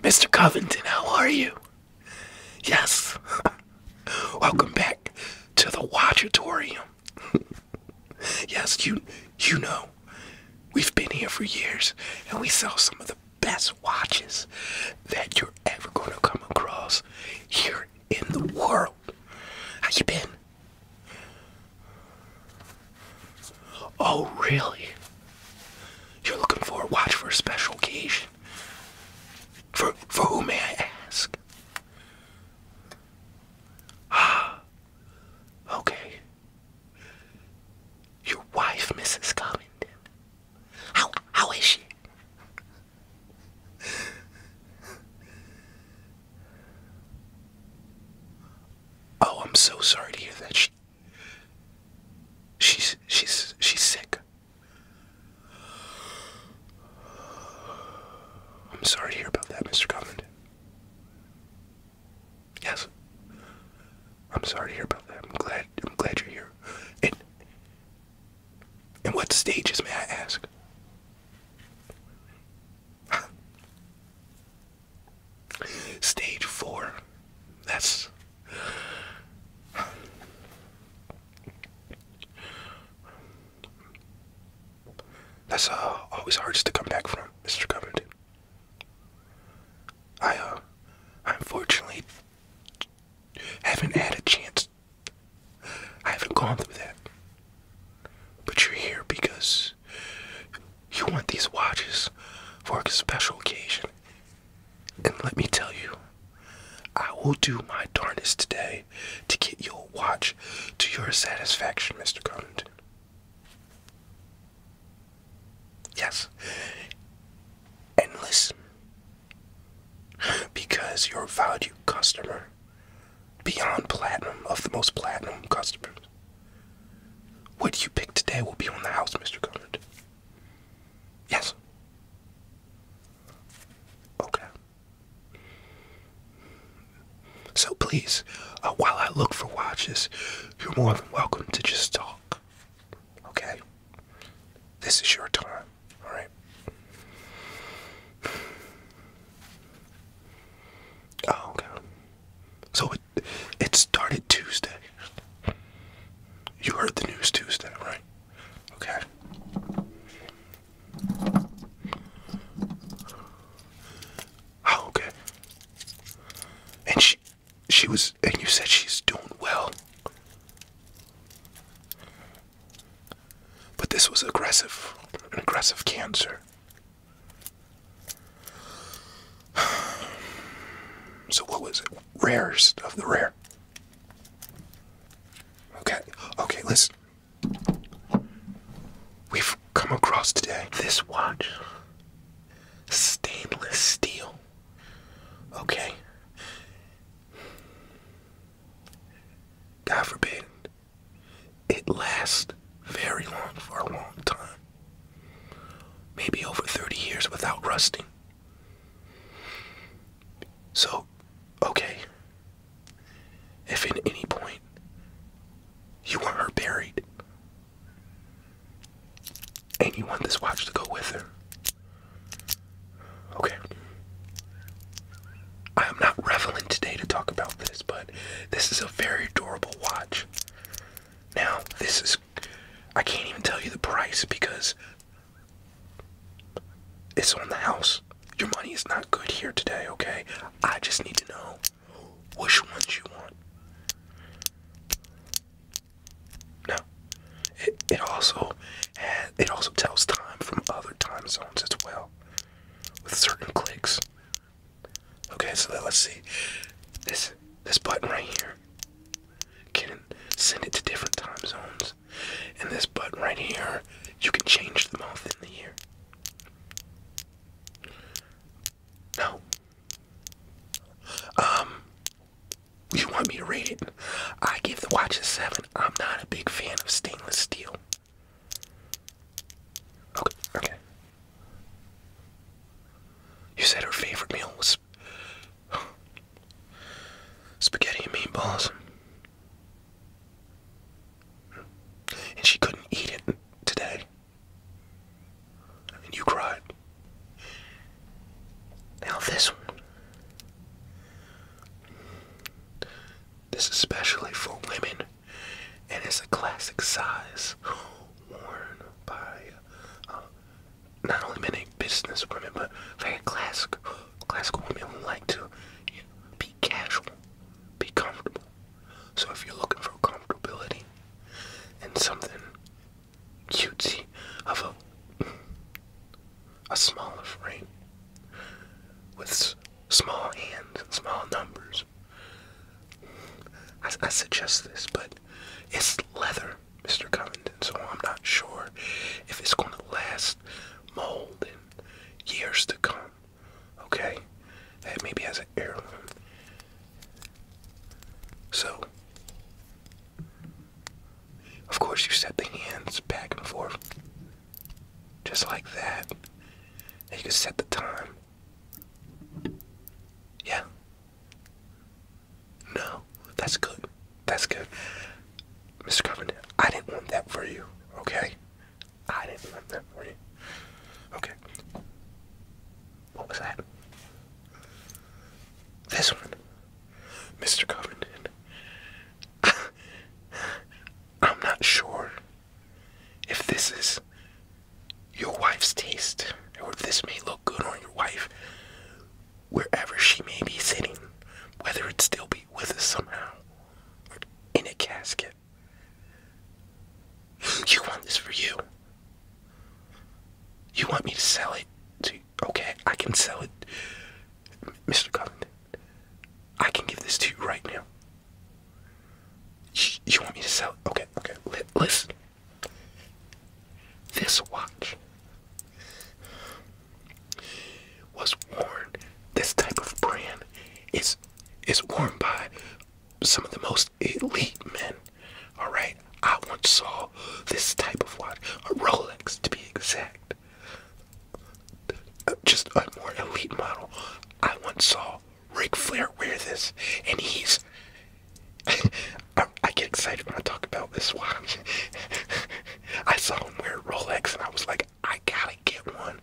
Mr. Covington, how are you? Yes. Welcome back to the Watchatorium. yes, you you know. We've been here for years and we sell some of the best watches that you're ever gonna come across here in the world. How you been? Oh, really? You're looking for a watch for a special occasion? For, for who may I ask? Ah, okay. Your wife, Mrs. Covington. How, how is she? Oh, I'm so sorry to hear that. She, She's she's she's sick. I'm sorry to hear about that, Mr. Covend. Yes. I'm sorry to hear about that. I'm glad I'm glad you're here. And and what stages may I ask? Stage four. That's. That's uh, always hardest to come back from, Mr. Covington. I, uh, I unfortunately haven't had a chance. I haven't gone through that. But you're here because you want these watches for a special occasion. And let me tell you, I will do my darndest today to get your watch to your satisfaction, Mr. Covington. Yes. endless because you're a valued customer, beyond platinum, of the most platinum customers. What you pick today will be on the house, Mr. Conard. Yes. Okay. So please, uh, while I look for watches, you're more than welcome to just talk. Okay? This is your time, alright? Oh, okay. So it it started Tuesday. You heard the news Tuesday, right? Okay. Oh, okay. And she she was and you said she's doing well. But this was aggressive, an aggressive cancer. So what was it? Rarest of the rare. Okay, okay, listen. We've come across today this watch. Stainless steel. Okay. God forbid it lasts very long for a long time. Maybe over 30 years without rusting. So, okay. If at any point you want her buried and you want this watch to go with her, okay. I am not reveling today to talk about this, but this is a very durable watch. Now, this is I can't even tell you the price because it's on the house. Your money is not good here today, okay? I just need to know which ones you want. Now, it, also it also tells time from other time zones as well, with certain clicks. Okay, so let's see. This this button right here can send it to different time zones. And this button right here, you can change the month and the year. No. Um you want me to rate it? I give the watch a seven. I'm not a big fan of stainless steel. Okay, okay. You said her favorite meal was spaghetti and meatballs. And she couldn't eat it today. And you cried. Now, this one. This is especially for women and it's a classic size worn by uh, not only many business women but very classic classical women who like to be casual, be comfortable. So if you're looking for comfortability and something cutesy of a a smaller frame with small hands and small numbers I, suggest this, but it's leather, Mr. Covington, so I'm not sure if it's going to last mold in years to come. Okay? That maybe has an heirloom. So, of course, you set the hands back and forth just like that. And you can set the time yeah. No, that's good. That's good. Mr. Covington. I didn't want that for you, okay? I didn't want that for you. Okay. What was that? This one. Mr. Covington. I'm not sure if this is your wife's taste, or if this may look good on your wife, wherever she may be sitting, whether it still be with us somehow, in a casket, you want this for you. You want me to sell it to okay, I can sell it. Mr. Covington, I can give this to you right now. You want me to sell? Okay, okay. Listen. This watch was worn. This type of brand is is worn by some of the most elite men. All right. I once saw this type of watch, a Rolex to be exact just a more elite model. I once saw Ric Flair wear this, and he's. I, get excited when I talk about this watch. I saw him wear Rolex, and I was like, I gotta get one.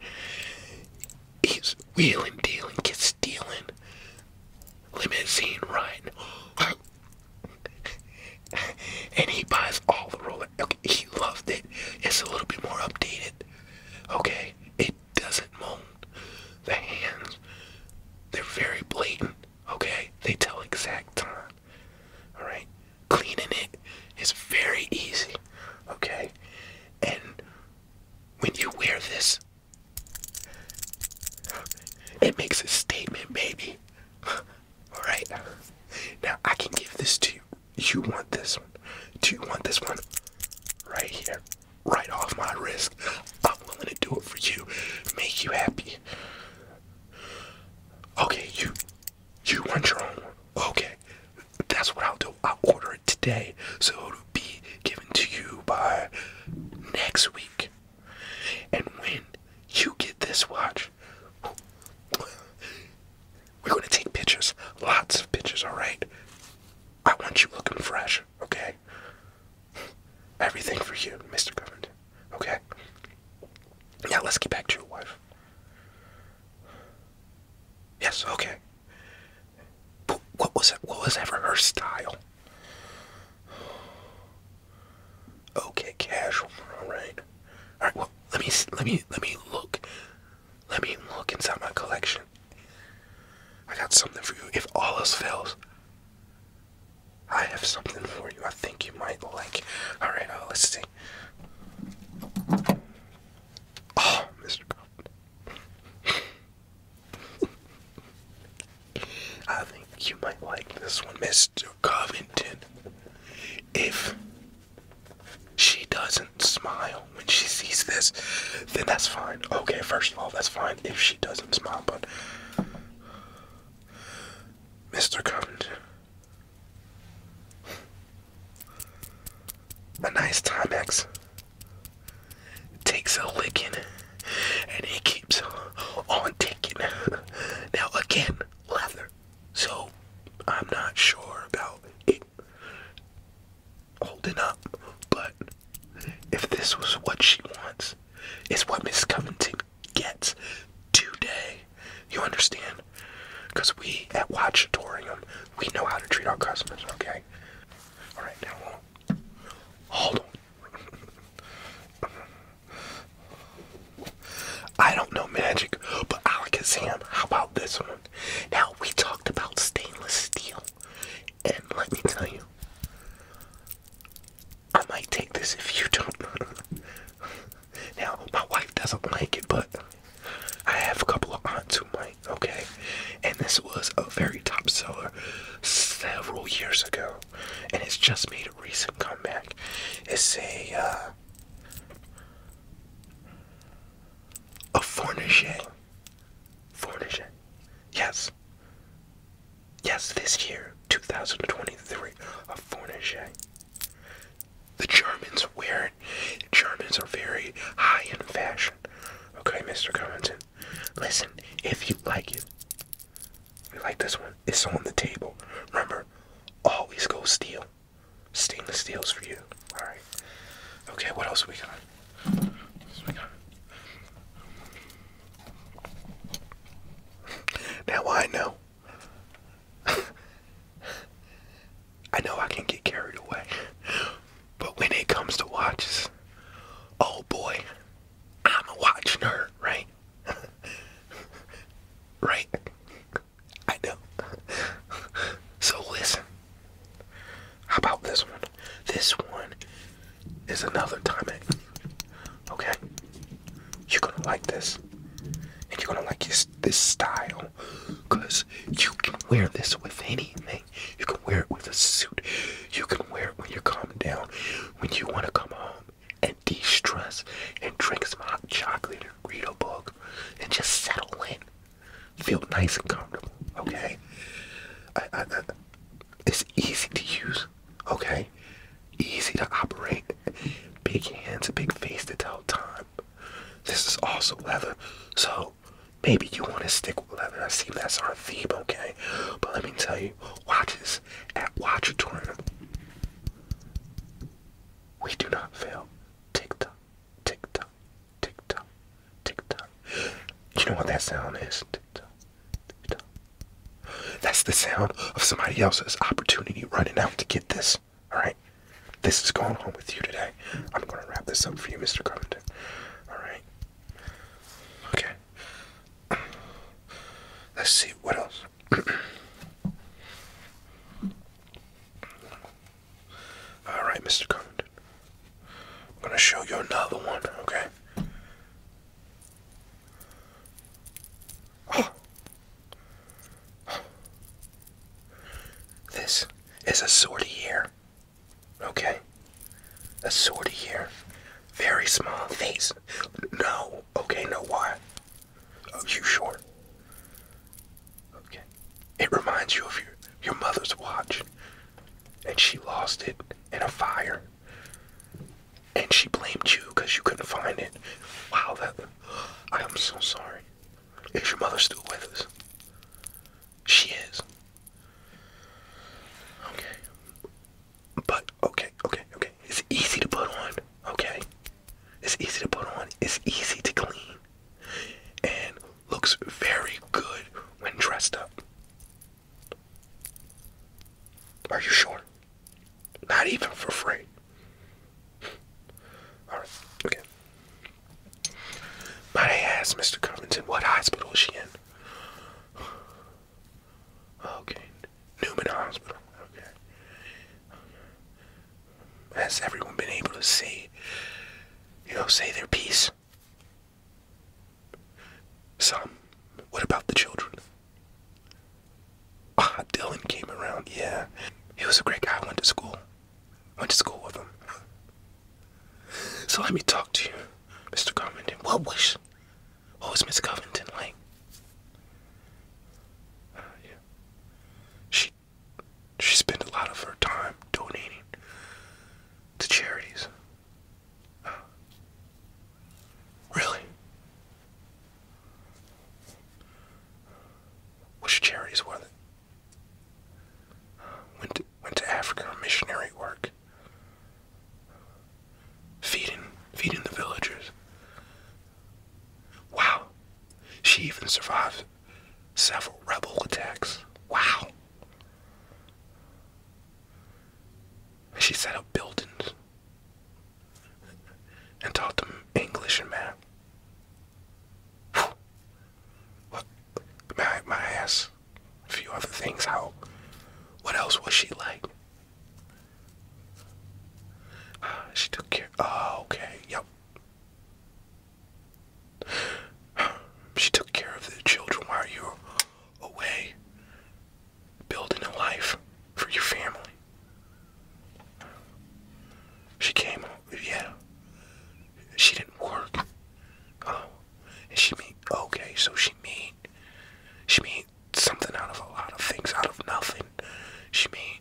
He's wheeling, dealing, get stealing. Limousine riding. and he buys all the Rolex. He loved it. It's a little bit more updated. Okay? It doesn't mold. The hands, they're very blatant. Okay? They tell exact time. Alright? Cleaning it is very easy. Okay? And when you wear this, it makes a statement, baby. Alright? Now, I can give this to you you want this one? Do you want this one? Right here, right off my wrist. I'm willing to do it for you, make you happy. Okay, you, you want your own Okay, that's what I'll do. I'll order it today, so it'll be given to you by next week. And when you get this watch, we're gonna take pictures, lots of pictures, alright? I want you looking fresh, okay? Everything for you, Mr. Covington, okay? Now let's get back to your wife. Yes, okay. what was it? What was ever her style? Okay, casual, all right. All right. Well, let me let me let me look let me look inside my collection. I got something for you. If all else fails, I have something for you. I think you might like. Alright, uh, let's see. Oh, Mr. Covington. I think you might like this one, Mr. Covington. If she doesn't smile when she sees this, then that's fine. Okay, first of all, that's fine if she doesn't smile, but. Mr. Covington. A nice Timex takes a licking and he keeps on taking. Now, again, leather. So, I'm not sure about it holding up, but if this was what she wants, it's what Miss Covington gets today. You understand? Because we at Watchatorium, we know how to treat our customers, okay? Alright, now hold on. Hold on. I don't know magic, but I'll Alakazam, how about this one? Now, we talked about stainless steel, and let me tell you, I might take this if you don't. now, my wife doesn't like it, but I have a couple of aunts who might, okay? And this was a very top seller several years ago, and it's just made a recent comeback. It's a, uh, a Fourniget. Fourniget. Yes. Yes, this year, 2023, a Fourniget. The Germans wear it. Germans are very high in fashion. Okay, Mr. Covington. Listen, if you like it, we like this one, it's on the table. Remember, always go steal. Stainless steel's for you. All right. Okay. What else we got? We got? Now I know. I know I can get carried away, but when it comes to watches, oh boy, I'm a watch nerd, right? right. I know. so listen. How about this one? This one is another timing. Okay? You're gonna like this. And you're gonna like this, this style. Because you can wear this with anything. You can wear it with a suit. You can wear it when you're calming down. When you wanna come home and de stress and drink some hot chocolate and read a book and just settle in. Feel nice and comfortable. Okay. I, it's easy to use. Okay. Easy to operate. Big hands, a big face to tell time. This is also leather, so maybe you want to stick with leather. I see that's our theme, okay? But let me tell you, watches at Watchatorium, we do not fail tick tock, tick tock, tick tock, tick tock. You know what that sound is? Tick tock, tick tock. That's the sound of somebody else's opportunity running out to get this. All right, this is going on with you today. I'm gonna wrap this up for you, Mr. Covington. All right. Okay. Let's see what else. All right, Mr. Covington. I'm going to show you another one, okay? Oh. This is a sorta sortier. Okay? A sorta sortier. Very small face. No. Okay, no why. Oh, you sure? Okay. It reminds you of your your mother's watch, and she lost it in a fire, and she blamed you because you couldn't find it. Wow, that I am so sorry. Is your mother still with us? She is. Okay. But okay, okay, okay. It's easy to put on. Okay. It's easy to put on, it's easy to clean, and looks very good when dressed up. Are you sure? Not even for free. Alright, okay. Might I ask Mr. Covington what hospital is she in? Okay. Newman Hospital. Okay. Has everyone been able to see? you know, say their piece? Some. What about the children? Ah, Dylan came around, yeah. He was a great guy. went to school. Went to school with him. So let me talk to you, Mr. Covington. What was, what was Miss Covington like? yeah. She she spent a lot of her time donating to charities. Uh, really? Which charities were they? Went went to Africa on missionary work. Feeding feeding the villagers. Wow. She even survived several rebel attacks. Wow. She set up buildings and taught them English and math. What? My, my ass. A few other things. How? What else was she like? She took care. Oh, okay. Yep. She took care of the children while you were away, building a life for your family. She came. Yeah. She didn't work. Oh, and she mean okay. So she mean she mean something out of a lot of things, out of nothing. She made,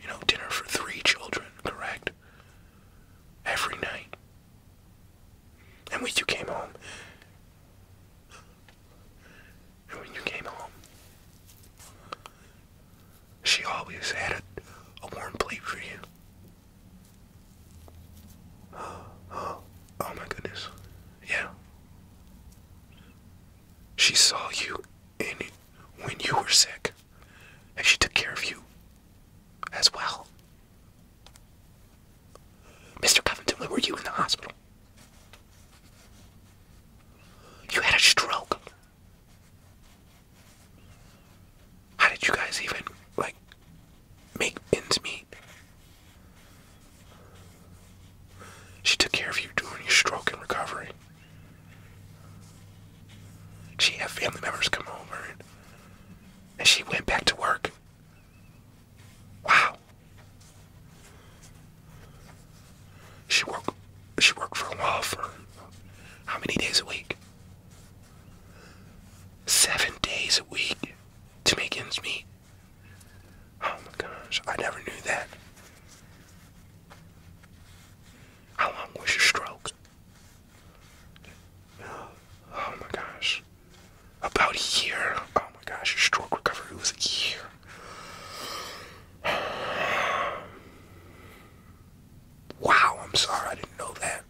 you know, dinner for three children, correct? Every night. And when you came home, and when you came home, she always had a, a warm plate for you. Oh, oh, oh my goodness. Yeah. She saw you in it when you were sick, and she took care of you as well. Mr. Covington, where were you in the hospital? You had a stroke. How did you guys even, like, make ends meet? She took care of you during your stroke and recovery. She had family members come over and, she went back to work. Wow. She worked she worked for a law firm. How many days a week? Seven days a week to make ends meet. Oh my gosh, I never knew that. How long was your stroke? Oh my gosh. About a year. Oh my gosh, your stroke recovery was a year. Wow, I'm sorry, I didn't know that.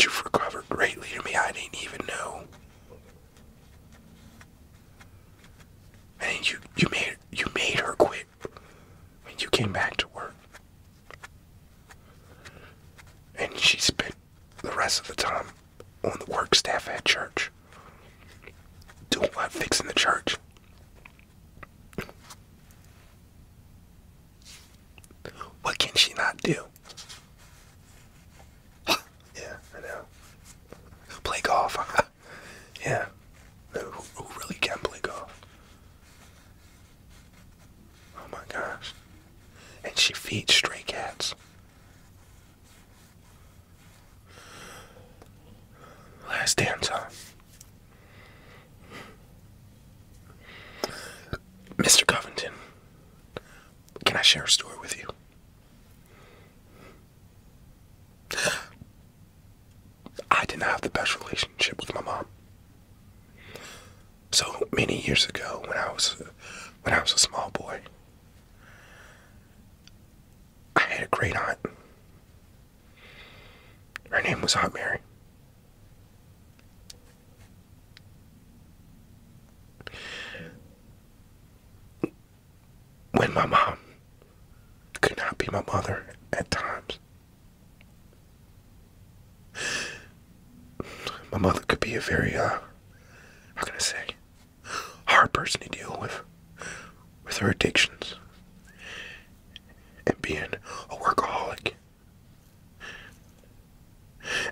you've recovered greatly to me, I didn't even know. And you you made you made her quit when you came back to work. And she spent the rest of the time on the work staff at church. Doing what fixing the church. What can she not do? yeah, I know. Play golf. yeah. Who, really can play golf? Oh my gosh. And she feeds stray cats. Last damn time. Mr. Covington, can I share a story with you? I didn't have the best relationship with my mom. So many years ago when I was when I was a small boy, I had a great aunt. Her name was Aunt Mary when my mom could not be my mother at times. My mother could be a very, uh, how can I say, hard person to deal with, with her addictions and being a workaholic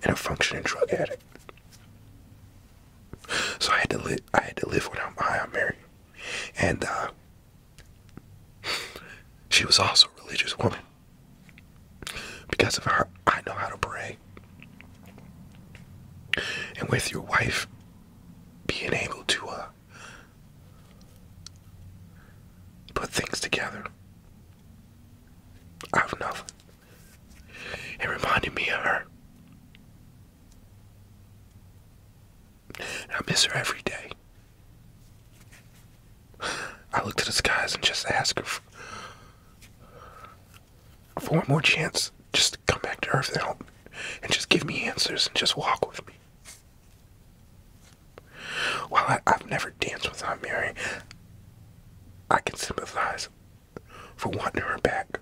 and a functioning drug addict. So I had to live. I had to live with my Aunt Mary, and uh, she was also a religious woman. Because of her, I know how to pray. And with your wife being able to uh, put things together I have nothing, it reminded me of her. I miss her every day. I look to the skies and just ask her for, one more chance just come back to Earth and just give me answers and just walk with me. While I, I've never danced with Aunt Mary, I can sympathize for wanting her back.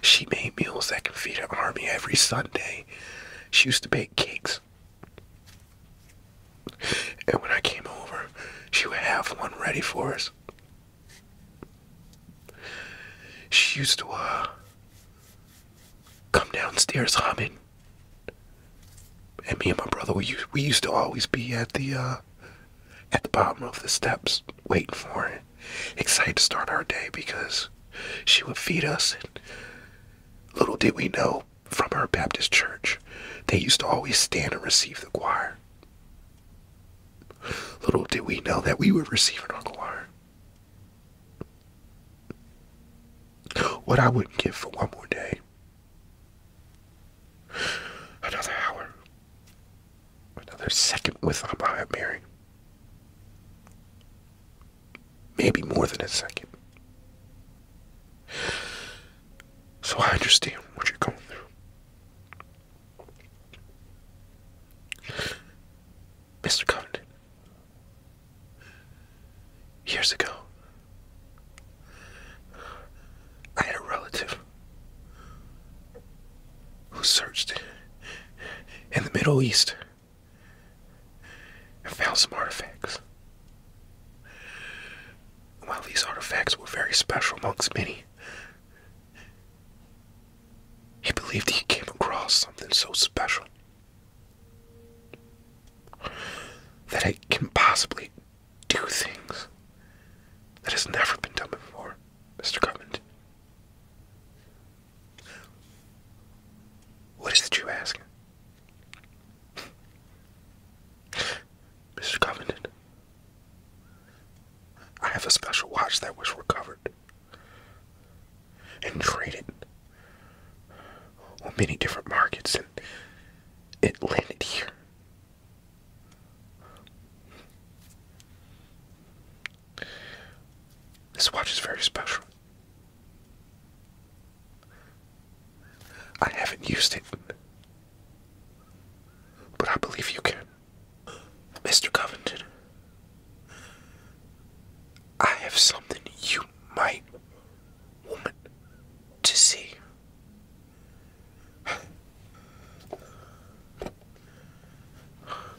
She made meals that can feed an army every Sunday. She used to bake cakes. And when I came over, she would have one ready for us. She used to uh, come downstairs humming. And me and my brother, we used, to always be at the uh, at the bottom of the steps, waiting for her, excited to start our day because she would feed us. little did we know, from our Baptist church, they used to always stand and receive the choir. Little did we know that we were receiving our choir. What I wouldn't give for one more day. Another hour. Another second with Amaya Mary. Maybe more than a second. So I understand what you're going through. Mr. Covington, years ago. I had a relative who searched in the Middle East and found some artifacts. While these artifacts were very special amongst many, he believed he came across something so special that it can possibly do things that has never been done before, Mr. Covington. What is it you ask? Mr. Covington, I have a special watch that was recovered and traded on many different markets it landed here. This watch is very special. I haven't used it, but I believe you can. Mr. Covington, I have something you might want to see.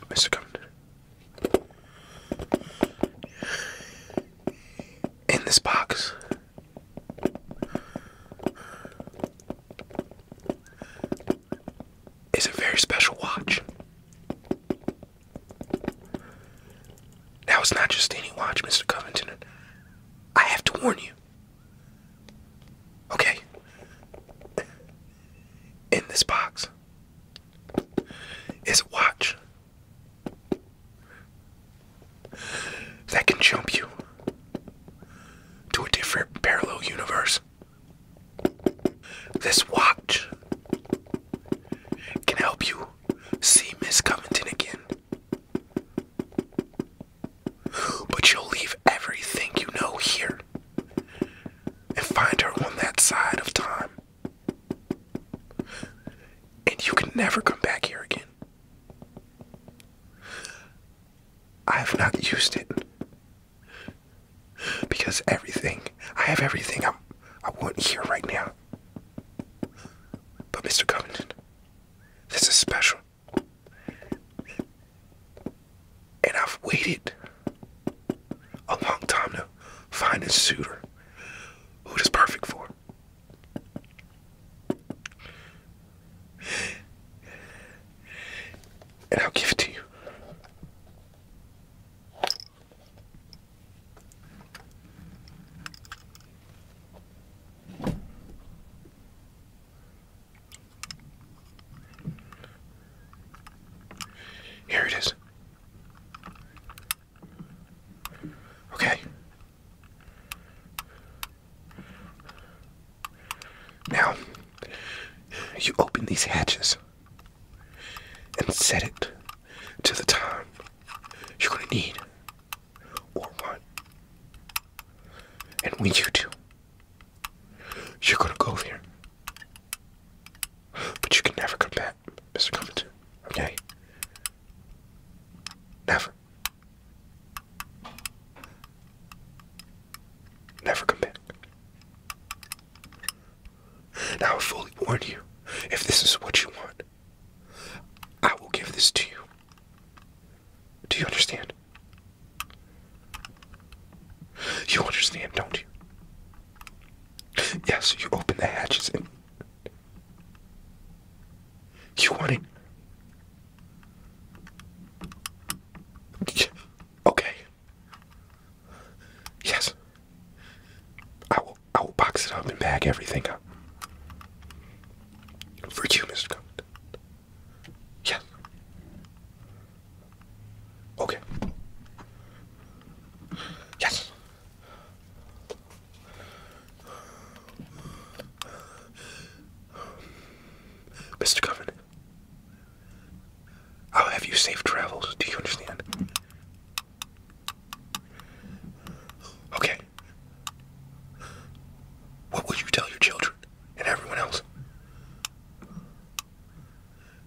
Mr. Governor, in this box is a very special watch. Now it's not just any watch, Mr. Covington. I have to warn you. Okay. In this box is a watch that can jump you to a different parallel universe. This watch can help you see Miss Covington again but you'll leave everything you know here and find her on that side of time. And you can never come back here again. I have not used it because everything, I have everything I, I want here right now. But Mr. Covington, this is special. And I've waited a long time to find a suitor who is perfect for. And I'll give it to you. Here it is. Okay. Now, you open these hatches and set it to the time you're gonna need or want. And when you do, you're gonna go there. But you can never come back, Mr. Covington. Okay? Never. Never come back. Now I fully warn you, if this is what you want, I will give this to you. Do you understand? You understand, don't you? Yes, you open the hatches and. You want it? Okay. Yes. I I'll, box it up and pack everything up. For you, Mr. Compton. Yes. Okay. Yes. Mr. Coven, I'll have you safe travels. Do you understand? Okay. What will you tell your children and everyone else?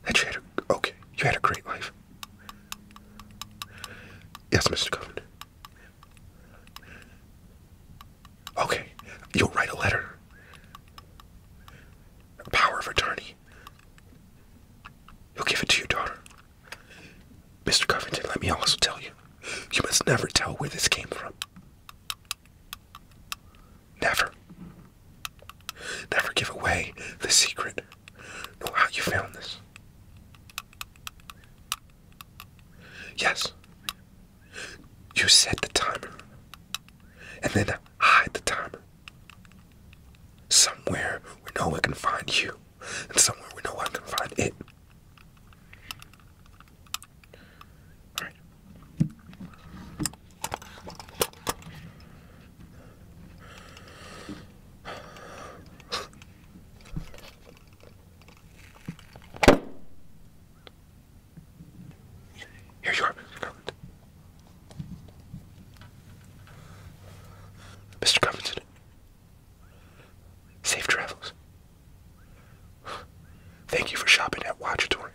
That you had a, okay, you had a great life. Yes, Mr. Governor. Okay, you'll write a letter. power of attorney. You'll give it to your daughter. Mr. Covington, let me also tell you, you must never tell where this came from. Never. Never give away the secret nor how you found this. Yes. You set the timer and then hide the timer somewhere where no one can find you. And somewhere we know I can find it. Here you are, Mr. Covington, safe travels. Thank you for shopping at Watchatorium.